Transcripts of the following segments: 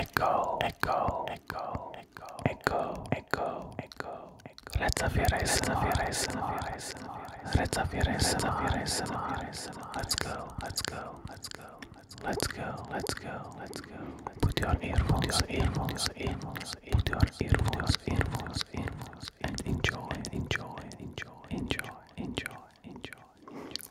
Echo, echo, echo, echo, echo, echo, echo. Let's have your eyes, let's have your eyes, let's have your eyes, let's have your eyes, let's have your eyes, let's go, let's go, let's go, let's go, let's go, let's go. Put your earphones, earphones, earphones, put your earphones, earphones, earphones, and enjoy, enjoy, enjoy, enjoy, enjoy, enjoy.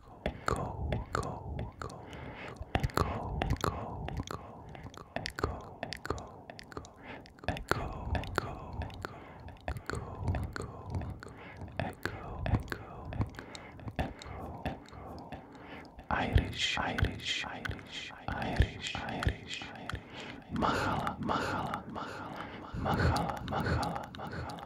go, go, go, go, go, go, go, go, echo, echo, echo, echo, echo, echo, echo, echo, Irish, Irish, Irish, Irish, Irish, Mahala, Mahala, Mahala, Mahala, Mahala, Mahala.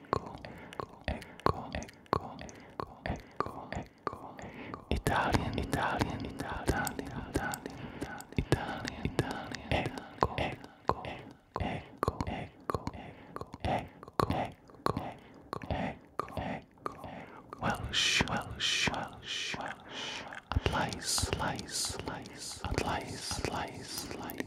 ecco, ecco, ecco, ecco, ecco, ecco, Italian, Italian, Italian, Italian, Italian, Italian, ecco, ecco, ecco, ecco, ecco, ecco, ecco, ecco, ecco, Welsh, Welsh, Welsh, Welsh, Atlice, Atlice, Atlice, Atlice, Atlice, Atlice.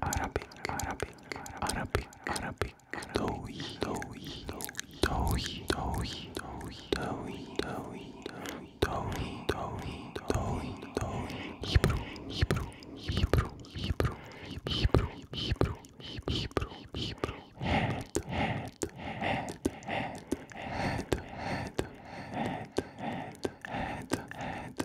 Arabic, Arabic, Arabic, Arabic, Dowi, Dowi, Dowi, Dowi, Dowi, Dowi, Dowi, Dowi, Dowi, Dowi, Hebrew, Hebrew, Hebrew, Hebrew, Hebrew, Hebrew, Hebrew, Hebrew, Head, Head, Head, Head, Head, Head, Head, Head, Head, Head,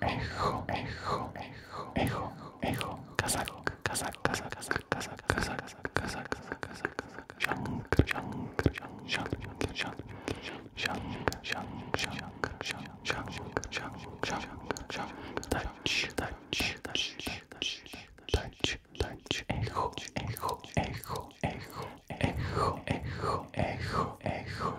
echo, echo, echo, echo, echo, kazak, kazak, kazak, kazak, kazak, kazak, kazak, kazak, shank, shank, shank, shank, shank, shank, shank, shank, shank, shank, shank, shank, touch, touch, touch, touch, touch, touch, echo, echo, echo, echo, echo, echo, echo, echo.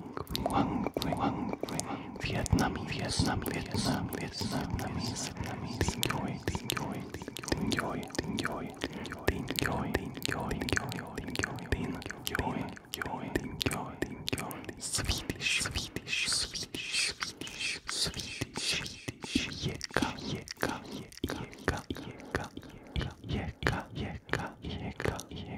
Swedish, Swedish, Swedish, Swedish, Swedish, Yeka, Yeka, Yeka, Yeka, Yeka, Yeka, Yeka, Yeka,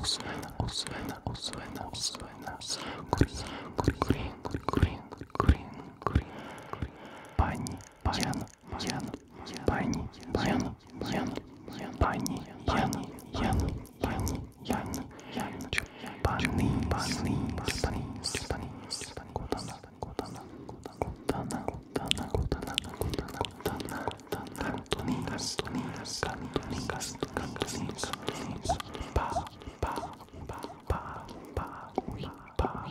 Osvena, Green, green, green, green, green. Pani, Jan, Ян, Пани, Ян, Ян, Пани, Ян, Ян, Ян, Ян, Ян, Пани, Пани, Пани, Пани, Кутана, Кутана, Кутана, Кутана, Кутана, Кутана, Кутана, Кантуни, Кантуни, Кантуни, Кантуни, Кантуни, Па, Па, Па, Па, Па, Уи, Па,